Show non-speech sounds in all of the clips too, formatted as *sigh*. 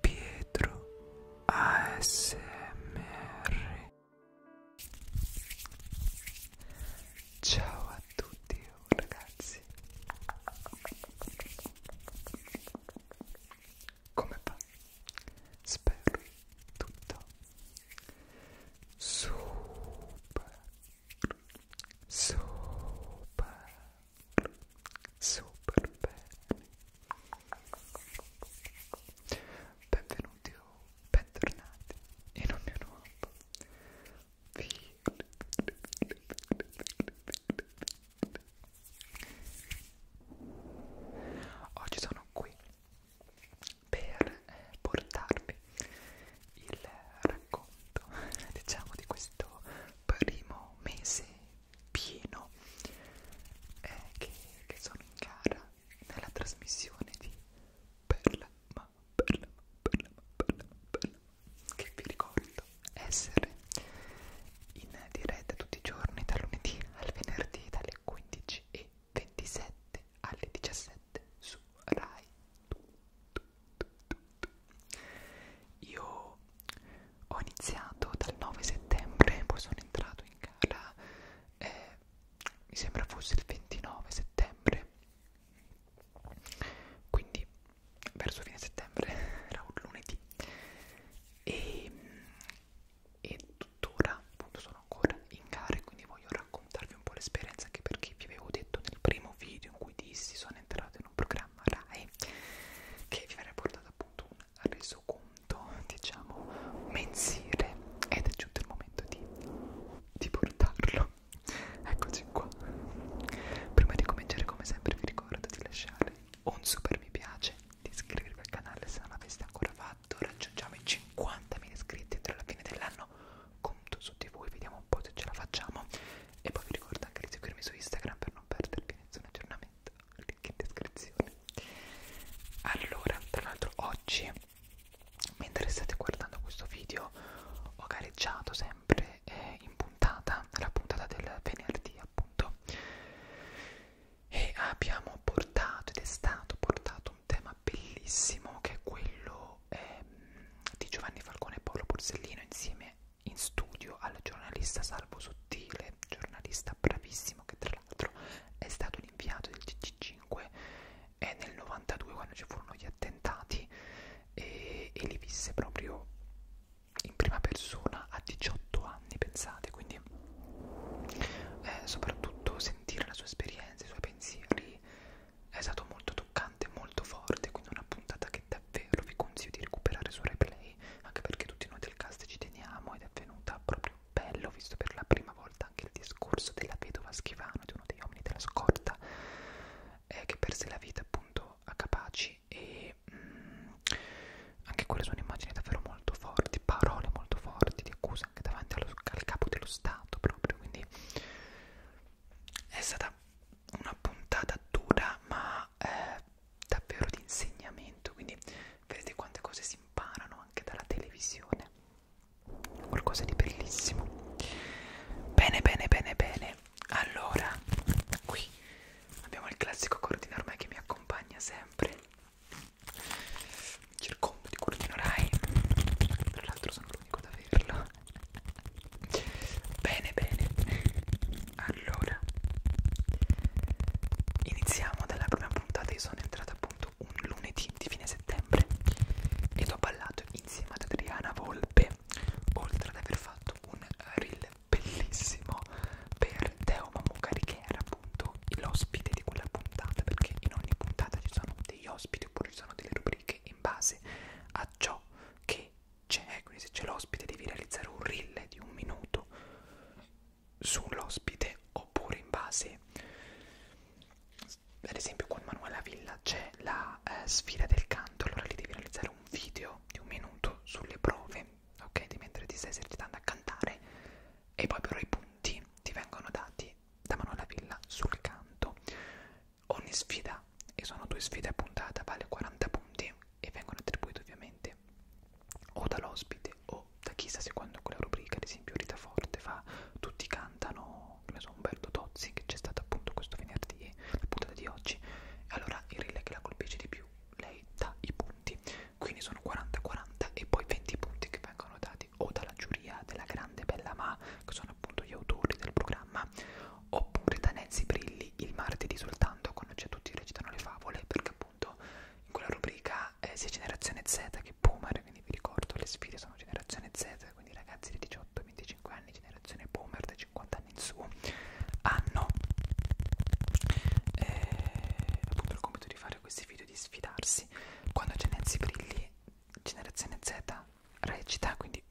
Pietro ASMR Ciao a tutti ragazzi Come va? Spero tutto super super super bene benvenuti o bentornati in un mio nuovo video oggi sono qui per eh, portarvi il racconto diciamo di questo primo mese pieno eh, che, che sono in gara nella trasmissione di Perla ma Perla ma Perla ma Perla ma Perla che vi ricordo essere in diretta tutti i giorni dal lunedì al venerdì dalle 15 e 27 alle 17 su Rai tu, tu, tu, tu, io ho iniziato dal 9 settembre, poi sono entrato in gara, eh, mi sembra fosse il 29 settembre, quindi verso fine settembre, *laughs* era un lunedì, e, e tuttora appunto sono ancora in gara, quindi voglio raccontarvi un po' l'esperienza, anche perché vi avevo detto nel primo video in cui dissi sono entrato in un programma programma Rai che vi verrà portato appunto un resoconto diciamo mensile ed è giunto il momento di, di portarlo eccoci qua prima di cominciare come sempre vi ricordo di lasciare un super mi piace di iscrivervi al canale se non l'aveste ancora fatto raggiungiamo i 50.000 iscritti entro la fine dell'anno conto su di voi vediamo un po' se ce la facciamo e poi vi ricordo anche di seguirmi su Instagram per non perdervi nessun aggiornamento. Link in descrizione. Allora, tra l'altro oggi, mentre state guardando questo video, ho gareggiato sempre eh, in puntata, la puntata del venerdì appunto, e abbiamo portato, ed è stato portato un tema bellissimo che è quello eh, di Giovanni Falcone e Paolo Borsellino insieme in studio al giornalista Salvo Sottile, giornalista bravissimo che tra l'altro è stato l'inviato del TG5 eh, nel 92 quando ci furono gli attentati e, e li visse proprio in prima persona a 18 anni, pensate, quindi eh, soprattutto sentire la sua esperienza, i suoi pensieri è stato molto toccante, molto forte, quindi una puntata che davvero vi consiglio di recuperare su replay anche perché tutti noi del cast ci teniamo ed è venuta proprio bello, visto per la prima volta anche il discorso della vedova Schivano, di uno degli uomini della scorta, eh, che perse la vita appunto a Capaci e mm, anche quelle sono immagini davvero molto forti, parole molto forti di accusa anche davanti allo, al capo dello Stato proprio, quindi è stata una puntata dura ma ma eh, davvero di insegnamento quindi vedete quante cose si imparano anche dalla televisione qualcosa di bellissimo bene bene bene bene allora qui abbiamo il classico cordino ormai che mi accompagna sempre c'è il combo di cordino rai tra l'altro sono l'unico ad averlo Bene, bene. Allora, iniziamo dalla prima puntata. Io sono entrata appunto un lunedì di fine settembre ed ho ballato insieme ad Adriana Volpe, oltre ad aver fatto un reel bellissimo per Teo Mamocari che era appunto l'ospite di quella puntata, perché in ogni puntata ci sono degli ospiti oppure ci sono delle rubriche in base a ciò che c'è, cioè, quindi se c'è l'ospite devi realizzare un reel di un minuto sull'ospite oppure in base, ad esempio con Manuela Villa c'è la eh, sfida del canto, allora lì devi realizzare un video di un minuto sulle prove, ok, di mentre ti stai esercitando a cantare e poi però i punti ti vengono dati da Manuela Villa sul canto. Ogni sfida, e sono due sfide a puntata, vale 40 punti, e vengono attribuite ovviamente o dall'ospite o da chi sta seguendo quella rubrica, ad esempio Rita Forte fa Tutti cantano, non so, Umberto Tozzi che c'è stato appunto questo venerdì, la puntata di oggi, e allora il relay che la colpisce di più, lei dà i punti, quindi sono 40-40 e poi 20 punti che vengono dati o dalla giuria della grande Bella Ma, che sono appunto gli autori del programma, oppure da Nancy Brilli lì il martedì soltanto quando c'è tutti recitano le favole perché appunto in quella rubrica eh, sia generazione Z che boomer quindi vi ricordo le sfide sono generazione Z quindi ragazzi di 18 25 anni generazione boomer da 50 anni in su hanno eh, appunto il compito di fare questi video di sfidarsi quando c'è Nancy Brilli generazione Z recita quindi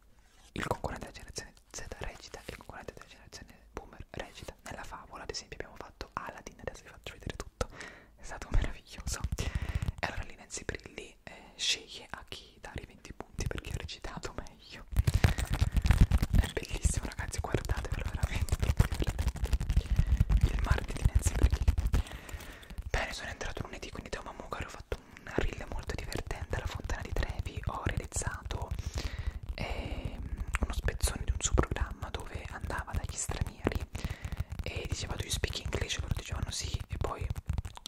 il concorrente della generazione Z recita e il concorrente della generazione boomer recita. Nella favola, ad esempio, abbiamo fatto Aladdin, adesso vi faccio vedere tutto, è stato meraviglioso. E allora lì Nancy Brilli eh, sceglie a chi dare i 20 punti perché ha recitato meglio. È bellissimo, ragazzi, guardatevelo veramente, troppo divertente. Il martedì di Nancy Brilli. Bene, sono entrato lunedì, quindi da Mamuga ho fatto un reel molto divertente alla Fontana di Trevi. Ho realizzato eh, uno spezzone di un suo programma dove andava dagli stranieri e diceva do you speak English? loro dicevano sì e poi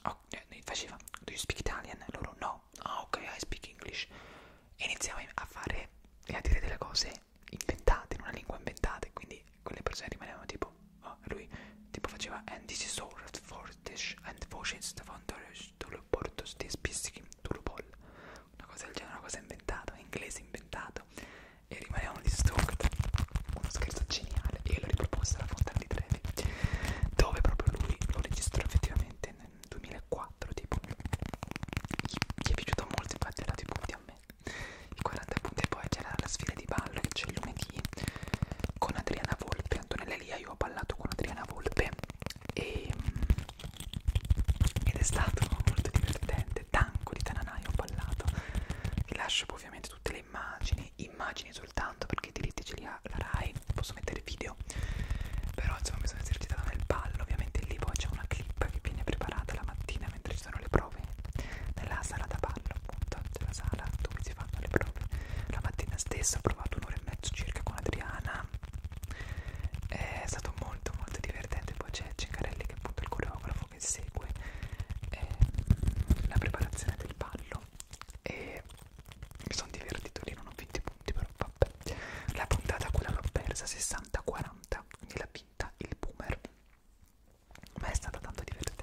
oh, eh, faceva do you speak Italian? loro no, ah oh, ok I speak English e iniziava a fare e a dire delle cose inventate in una lingua inventata e quindi quelle persone rimanevano tipo oh, lui tipo faceva and this is all for this and for this the founders to report to this Turbol, una cosa del genere, una cosa inventata, un inglese inventato e rimaniamo distrutti, uno scherzo geniale e l'ho riproposto alla Fontana di Trevi dove proprio lui lo registrò effettivamente nel 2004 tipo gli, gli è piaciuto molto infatti ha dato i punti a me i 40 punti e poi c'era la sfida di ballo che c'è lunedì con Adriana Volpe Antonella Lia io ho ballato con Adriana Volpe e, mm, ed è stato molto divertente, tanco di Tananai ho ballato, vi lascio ovviamente tutte le immagini, immagini soltanto perché i diritti ce li ha la RAI, posso mettere video, però insomma mi sono esercitata nel ballo, ovviamente lì poi c'è una clip che viene preparata la mattina mentre ci sono le prove nella sala da ballo appunto, c'è la sala dove si fanno le prove, la mattina stessa ho provato un'ora e mezzo circa con Adriana è stato molto molto divertente poi c'è Cincarelli che è appunto il coreografo che segue eh, la preparazione del ballo e mi sono divertito lì non ho 20 punti però vabbè la puntata quella l'ho persa 60-40 quindi l'ha vinta il boomer ma è stata tanto divertente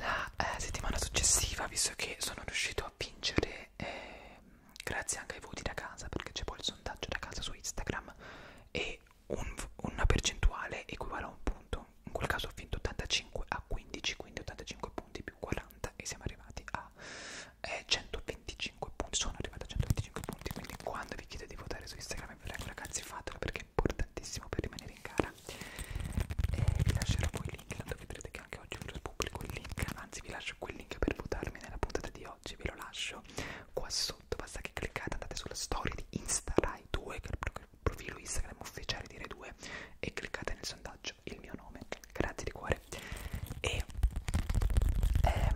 la eh, settimana successiva visto che sono riuscito a vincere eh, grazie anche ai voti da casa perché c'è poi il sondaggio da casa su Instagram e un, una percentuale equivale a un punto in quel caso ho vinto 85 a 15 quindi 85 punti più 40 e siamo arrivati a eh, 125 punti sono arrivato a 125 punti quindi quando vi chiedo di votare su Instagram vi prego ragazzi fatelo perché è importantissimo per rimanere in gara Sara e vi lascerò poi il link tanto vedrete che anche oggi vi pubblico il link anzi vi lascio quel link per votarmi nella puntata di oggi ve lo lascio qua sotto basta che cliccate andate sulla storia di InstaRai2 che è il profilo Instagram ufficiale di Rai2 e cliccate nel sondaggio il mio nome grazie di cuore e, ehm,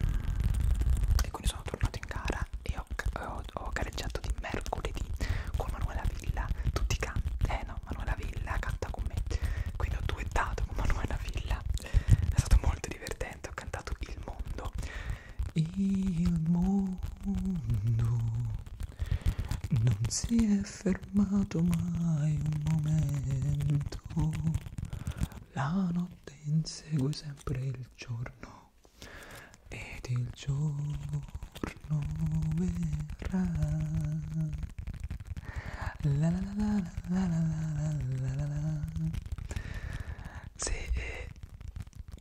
e quindi sono tornato in gara e ho, ho, ho gareggiato di mercoledì con Manuela Villa, tutti canti, eh no, Manuela Villa canta con me, quindi ho duettato con Manuela Villa, è stato molto divertente, ho cantato Il Mondo, Il Mondo non si è fermato mai un momento, la notte insegue sempre il giorno ed il giorno verrà la la la la la la la la la se eh,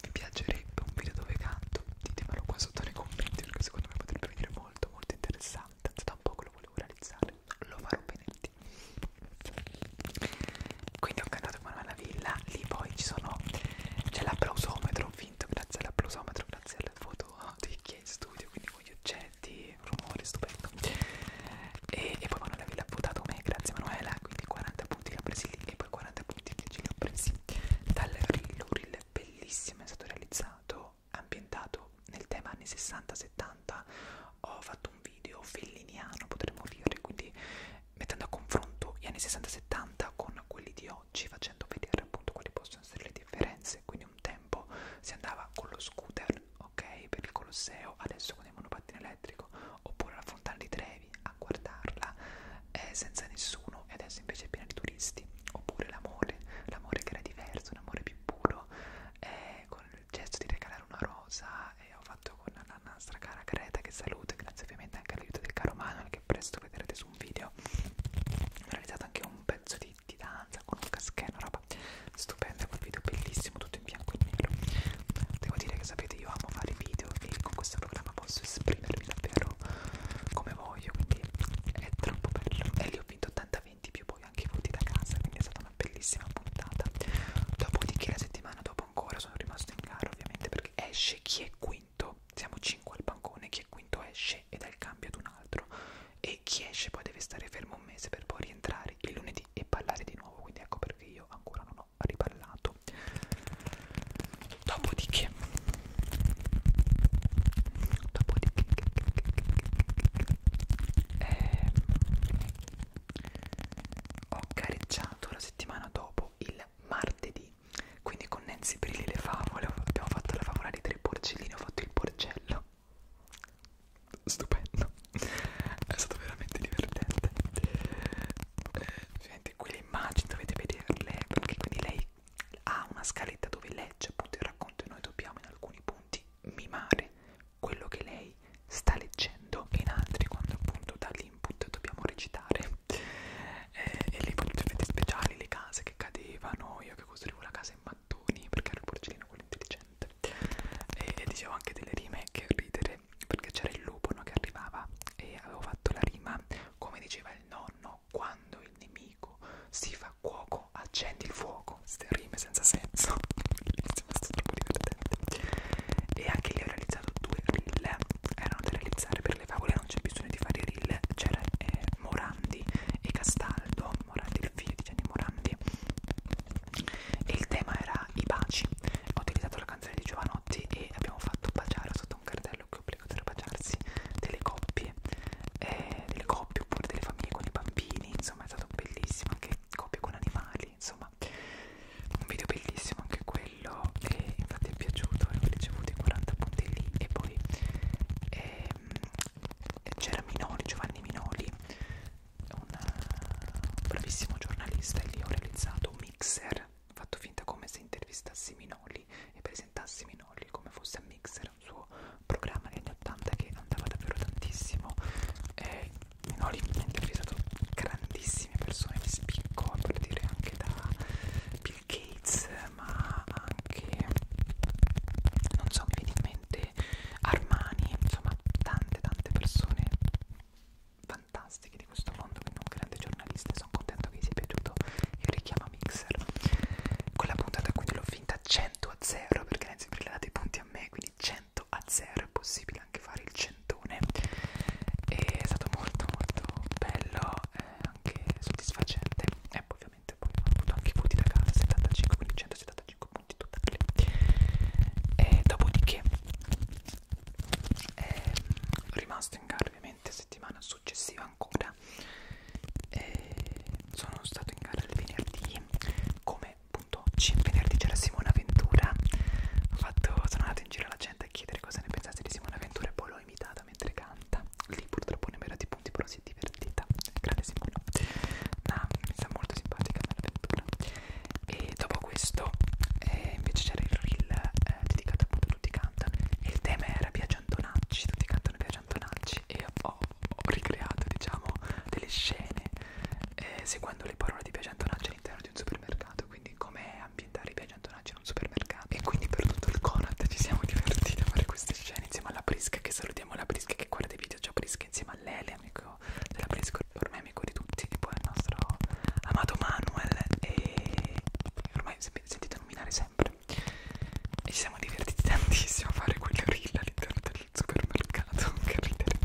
vi piacerebbe un video dove canto ditemelo qua sotto nei commenti perché secondo me potrebbe venire molto molto interessante da un po' che lo volevo realizzare lo farò benetti quindi ho cantato Emanuela Villa lì poi ci sono c'è l'applausometro finto grazie all'applausometro, grazie al foto ah, di chi è in studio, quindi con gli oggetti, rumore stupendo. E, e poi Manuela l'ha votato me, grazie Manuela, quindi 40 punti li ho presi lì e poi 40 punti che ci li ho presi dall'Uril, bellissimo, è stato realizzato, ambientato nel tema anni 60-70, ho fatto un video felliniano potremmo dire, quindi mettendo a confronto gli anni 60-70 con quelli di oggi facendo vedere appunto quali possono essere le differenze quindi un tempo si andava con lo scooter ok per il Colosseo adesso con il monopattino elettrico oppure la fontana di Trevi a guardarla eh, senza nessuno e adesso invece è piena di turisti oppure l'amore l'amore che era diverso un amore più puro eh, con il gesto di regalare una rosa e eh, ho fatto con la nostra cara Greta che saluta grazie ovviamente anche all'aiuto del caro Manuel che presto vedrete su su un video ho realizzato anche un pezzo di, di danza con un caschetto, roba stupenda quel video bellissimo tutto in bianco e nero devo dire che sapete io amo fare video e con questo programma posso esprimermi davvero come voglio quindi è troppo bello e lì ho vinto 80-20 più poi anche i voti da casa quindi è stata una bellissima puntata dopodiché la settimana dopo ancora sono rimasto in gara ovviamente perché esce chi è qui quinto, siamo 5 al bancone, chi è quinto esce ed è il cambio ad un altro e chi esce poi deve stare fermo un mese per poi rientrare il lunedì e parlare di nuovo, quindi ecco perché io ancora non ho riparlato. Dopodiché, dopodiché eh, ho careggiato la settimana dopo il martedì quindi con Nancy Brilli le favole, abbiamo fatto la favola dei tre porcellini, ho fatto il porcello. Stupendo, è stato veramente divertente. Ovviamente eh, qui le immagini dovete vederle, perché quindi lei ha una scaletta dove legge appunto il racconto e noi dobbiamo in alcuni punti mimare quello che lei sta leggendo e in altri quando appunto dall'input dobbiamo recitare eh, e lì potete effetti speciali, le case che cadevano, io che costruivo la casa in mattoni perché ero il porcellino quello intelligente e, e dicevo anche delle rime che ridere perché c'era il lupo no, che arrivava e avevo fatto la rima come diceva il nonno quando il nemico si fa cuoco accendi il fuoco queste rime senza senso *laughs* bellissime sono troppo divertenti e anche lì ho realizzato due reel erano da realizzare per per le favole non c'è bisogno di fare reel c'era eh, Morandi e Castaldo Morandi il figlio di Gianni Morandi e il tema era i baci ho utilizzato la canzone di Giovanotti e abbiamo fatto baciare sotto un cartello che obbligatorio a baciarsi delle coppie eh, delle coppie oppure delle famiglie con i bambini insomma è stato bellissimo anche coppie con animali insomma un video bellissimo anche quello bello e infatti è piaciuto avevo ricevuto i 40 punti lì e poi eh, c'era Minoli, Giovanni Minoli un bravissimo giornalista e lì ho realizzato un mixer fatto finta come se intervistassi Minoli e presentassi Minoli come fosse a mixer un suo programma negli anni 80 che andava davvero tantissimo eh, Minoli ha intervistato grandissime persone di spicco a partire anche da Bill Gates ma anche non so mi viene in mente Armani insomma tante tante persone fantastiche di questo mondo quindi un grande giornalista sono contento che vi sia piaciuto il richiamo a Mixer con la puntata quindi l'ho finta 100 a 0 perché ne sempre le date i punti a me quindi 100 a 0 è possibile anche fare il centone è stato molto molto bello eh, anche soddisfacente e eh, poi ovviamente poi ho avuto anche i punti da casa 75 quindi 175 punti totali e dopodiché eh, rimasto in gara ovviamente settimana successiva ancora e sono stato in gara il venerdì come punto 5 venerdì c'era Simona Ventura ho fatto, sono andato in giro alla gente a chiedere cosa ne pensasse di Simona Ventura e poi l'ho imitata strada mentre canta lì purtroppo non mi ero di punti però si è divertita grande Simona ma mi sta molto simpatica l'avventura e dopo questo eh, invece c'era il reel eh, dedicato appunto a tutti cantano e il tema era Piaggio Antonacci tutti cantano Piaggio Antonacci e ho, ho ricreato diciamo delle scene eh, seguendo le parole di Piaggio Antonacci all'interno di un supermercato quindi come ambientare i piangiantonaggi in un supermercato e quindi per tutto il Conad ci siamo divertiti a fare queste scene insieme alla Prisca che salutiamo la Prisca che guarda i video già Prisca insieme a Lele amico della Prisca ormai amico di tutti e poi il nostro amato Manuel e ormai sentite nominare sempre e ci siamo divertiti tantissimo a fare quelle rilla all'interno del supermercato *laughs* che ridere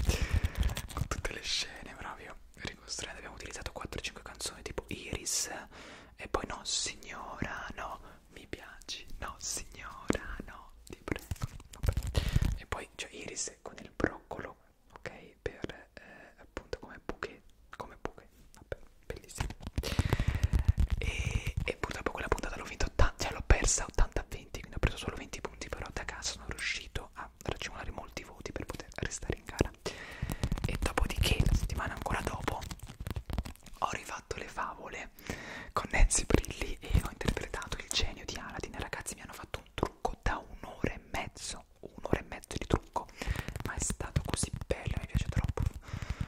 con tutte le scene proprio ricostruendo abbiamo utilizzato 4-5 canzoni tipo Iris e poi no signora no mi piaci no signora no ti prego Vabbè. e poi cioè iris con il broccolo ok per eh, appunto come bouquet come bouquet Vabbè, bellissimo e, e purtroppo quella puntata l'ho vinta 80 cioè l'ho persa 80 a 20 quindi ho preso solo 20 punti però da casa sono riuscito a raggiungere molti voti per poter restare in gara via e dopodiché la settimana ancora dopo ho rifatto le favole con Nancy Brilli e ho interpretato il genio di Aladdin ragazzi mi hanno fatto un trucco da un'ora e mezzo un'ora e mezzo di trucco ma è stato così bello mi piace troppo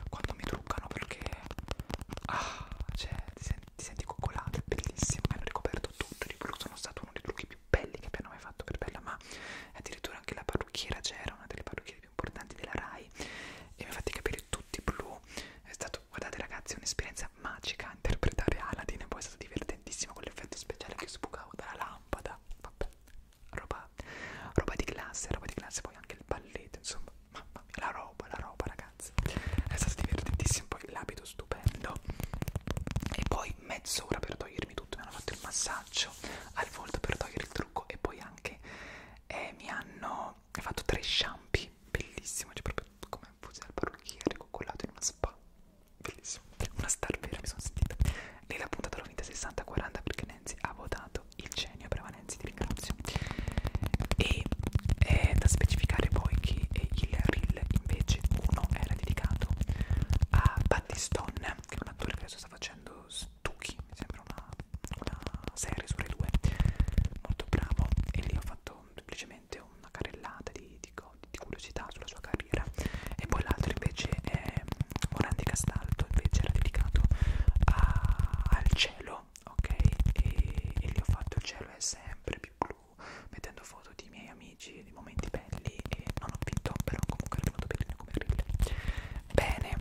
quando mi truccano perché ah cioè ti, sen ti senti coccolato è bellissimo mi hanno ricoperto tutto di blu sono stato uno dei trucchi più belli che abbiamo mai fatto per bella ma addirittura anche la parrucchiera c'era cioè, una delle parrucchiere banchieri più importanti della Rai e mi ha fatti capire tutti blu. È stato, guardate ragazzi, un'esperienza magica interpretare Aladdin e poi è stato divertentissimo con l'effetto speciale che sbucavo dalla lampada. Vabbè, roba, roba di classe, roba di classe, poi anche il balletto, insomma, mamma mia, la roba, la roba ragazzi. È stato divertentissimo, poi l'abito stupendo. E poi mezz'ora per togliermi tutto, mi hanno fatto il massaggio al volto per togliere il trucco e poi anche eh, mi hanno fatto tre shampoo bellissimo cioè proprio come fusi dal parrucchiere coccolato in una spa bellissimo una star vera mi sono sentita lei l'ha puntata l'ho vinta 60-40 perché Nancy ha votato il genio brava Nancy ti ringrazio e è eh, da specificare poi che il reel invece uno era dedicato a Battistone che è un attore che adesso sta facendo uh, Stucchi, mi sembra una, una serie su Rai 2, molto bravo e lì ho fatto semplicemente una carrellata di, di, di curiosità sulla sua carriera e poi l'altro invece è Morandi mm, Castaldo, invece era dedicato a, al cielo, ok? E, e lì ho fatto il cielo è sempre più blu, mettendo foto di miei amici, di momenti belli e non ho vinto, però comunque è venuto bene come reel bene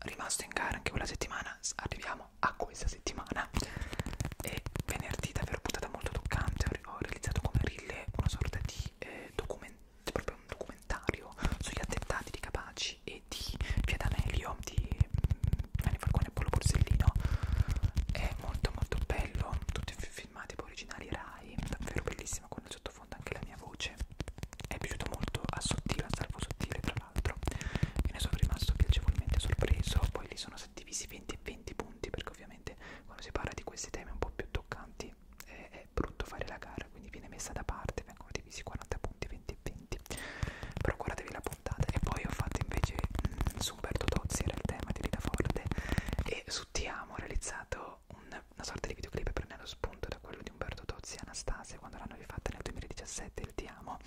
rimasto in gara anche quella settimana arriviamo a questa settimana e venerdì davvero puntata molto toccante ho, ho realizzato come rille una sorta di eh, documentario proprio un documentario sugli attentati di Capaci e di Piadanelio di Gianni mm, Falcone e Polo Borsellino è molto molto bello tutti filmati poi originali Rai davvero bellissima con il sottofondo anche la mia voce è piaciuto molto a sottile, a salvo sottile tra l'altro e ne sono rimasto piacevolmente sorpreso poi lì sono stati divisi 20 e 20 punti perché ovviamente quando si parla di questi temi un po' più toccanti è, è brutto fare la gara quindi viene messa da parte vengono divisi 40 punti 20 e 20 però guardatevi la puntata e poi ho fatto invece mh, mm, su Umberto Tozzi era il tema di Rita Forte e su Ti Amo ho realizzato un, una sorta di videoclip prendendo spunto da quello di Umberto Tozzi e Anastasia quando l'hanno rifatta nel 2017 il Ti amo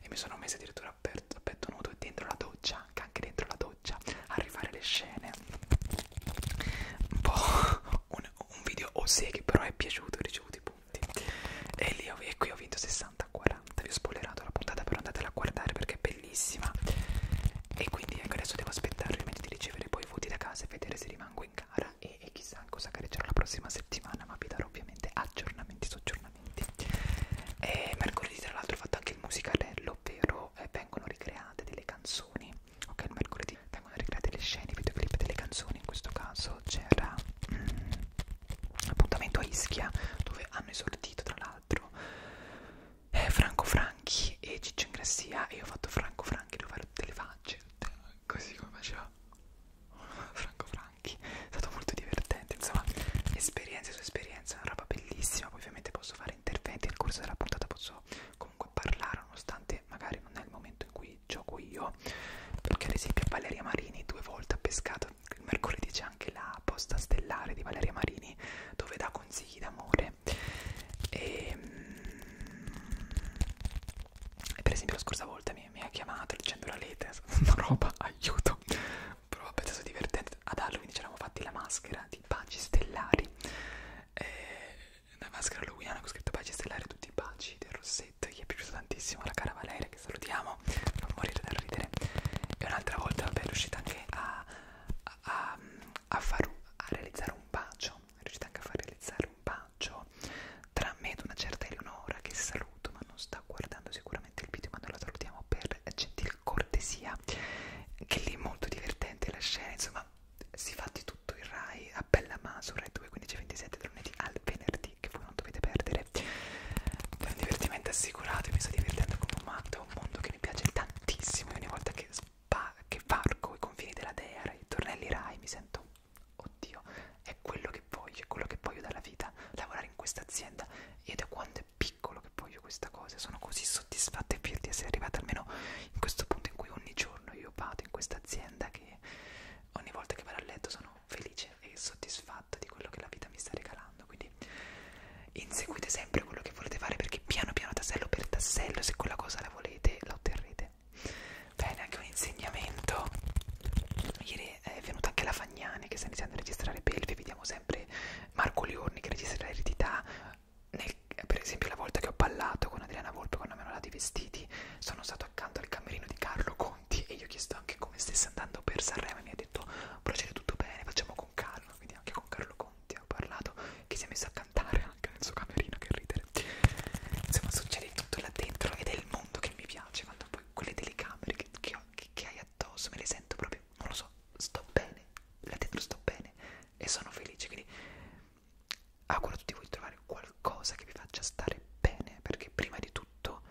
e mi sono messa addirittura a petto nudo dentro la doccia, anche, anche dentro la doccia, a rifare le scene. Un po' *laughs* un, un video o oh sé che però è piaciuto, ho ricevuto i punti. E lì ho, e qui ho vinto 60-40, vi ho spoilerato la puntata però andatela a guardare perché è bellissima. E quindi ecco adesso devo aspettare ovviamente di ricevere poi i voti da casa e vedere se rimango in cara e, e chissà cosa gareggerò la prossima settimana ma vi darò ovviamente aggiornamenti su aggiornamenti e mercoledì tra l'altro ho fatto anche il musicalello ovvero eh, vengono ricreate delle canzoni ok il mercoledì vengono ricreate le scene i videoclip delle canzoni in questo caso c'era mm, appuntamento a Ischia dove hanno esordito tra l'altro eh, Franco Franchi e Ciccio Ingrassia e io ho fatto Franco Franchi dove ero gente così come faceva Franco Franchi è stato molto divertente insomma esperienza su esperienza è una roba bellissima poi ovviamente posso fare interventi nel corso della puntata posso comunque parlare nonostante magari non è il momento in cui gioco io perché ad esempio Valeria Marini due volte ha pescato il mercoledì c'è anche la posta stellare di Valeria Marini dove dà consigli sì d'amore e, ehm, e per esempio la scorsa volta mi, mi ha chiamato dicendo la lettera, *laughs* una roba, aiuto però vabbè è stato divertente ad Halloween ci eravamo fatti la maschera di baci stellari e eh, una maschera halloween con scritto baci stellari tutti i baci del rossetto gli è piaciuto tantissimo la cara Valeria che salutiamo non morire da ridere e un'altra volta vabbè è riuscita anche a a, a, a, far, a realizzare un bacio bacio, riuscite anche a far realizzare un bacio tra me ed una certa Eleonora che saluto ma non sta guardando sicuramente il video ma noi la salutiamo per gentil cortesia che lì è molto divertente la scena insomma si fa di tutto il Rai a bella maso Rai 2 15 27 da lunedì al venerdì che voi non dovete perdere è un divertimento assicurato mi sto divertendo come un matto è un mondo che mi piace tantissimo e ogni volta che che varco i confini della Dea, i tornelli Rai, mi sento, oddio, è quello che voglio, è quello che voglio dalla vita, lavorare in questa azienda. Io da quando è piccolo che voglio questa cosa, sono così soddisfatta e fiero di essere arrivata almeno in questo punto in cui ogni giorno io vado in questa azienda che ogni volta che vado a letto sono felice e soddisfatta di quello che la vita mi sta regalando. Quindi inseguite sempre quello che volete fare perché piano piano tassello per tassello se quella cosa la volete la otterrete male bene anche un insegnamento ieri è venuta anche la Fagnani che sta iniziando a registrare belve vediamo sempre Marco Liorni che registra l'eredità per esempio la volta che ho ballato con Adriana Volpe quando mi hanno dato i vestiti sono stato accanto al camerino di Carlo Conti e gli ho chiesto anche come stesse andando per Sanremo e mi ha detto procede tutto bene facciamo con Carlo quindi anche con Carlo Conti ti ho parlato che si è messo a cantare anche nel suo camerino che ridere insomma succede tutto là dentro ed è il mondo che mi piace quando poi quelle telecamere che, che, ho, che, che hai addosso me le sento proprio non lo so sto bene là dentro sto bene e sono felice quindi auguro a tutti voi di trovare qualcosa che vi faccia stare bene perché prima di tutto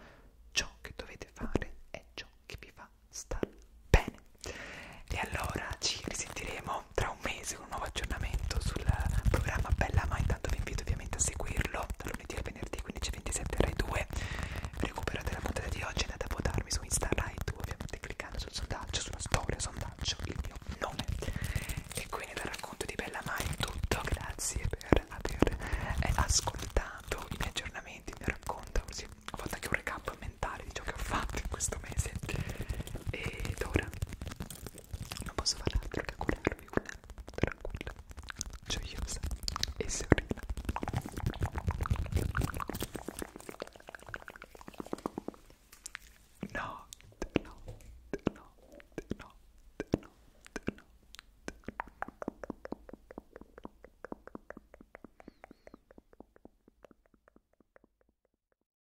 ciò che dovete fare è ciò che vi fa star bene e allora ci risentiremo tornerò tra un mese con un nuovo aggiornamento sul programma Bella Ma intanto vi invito ovviamente a seguirlo da lunedì al venerdì 15.27 Rai 2 recuperate la puntata di oggi andate a votarmi su Insta Rai 2 ovviamente cliccando sul sondaggio sulla storia sondaggio il mio nome e quindi dal racconto di Bella Ma è tutto grazie per aver eh, ascoltato i miei aggiornamenti il mio racconto così ho fatto anche un recap mentale di ciò che ho fatto in questo mese ed ora non posso fare altro che curarvi una tranquilla, gioiosa cioè, e serena no, no, no, no, no, no, no.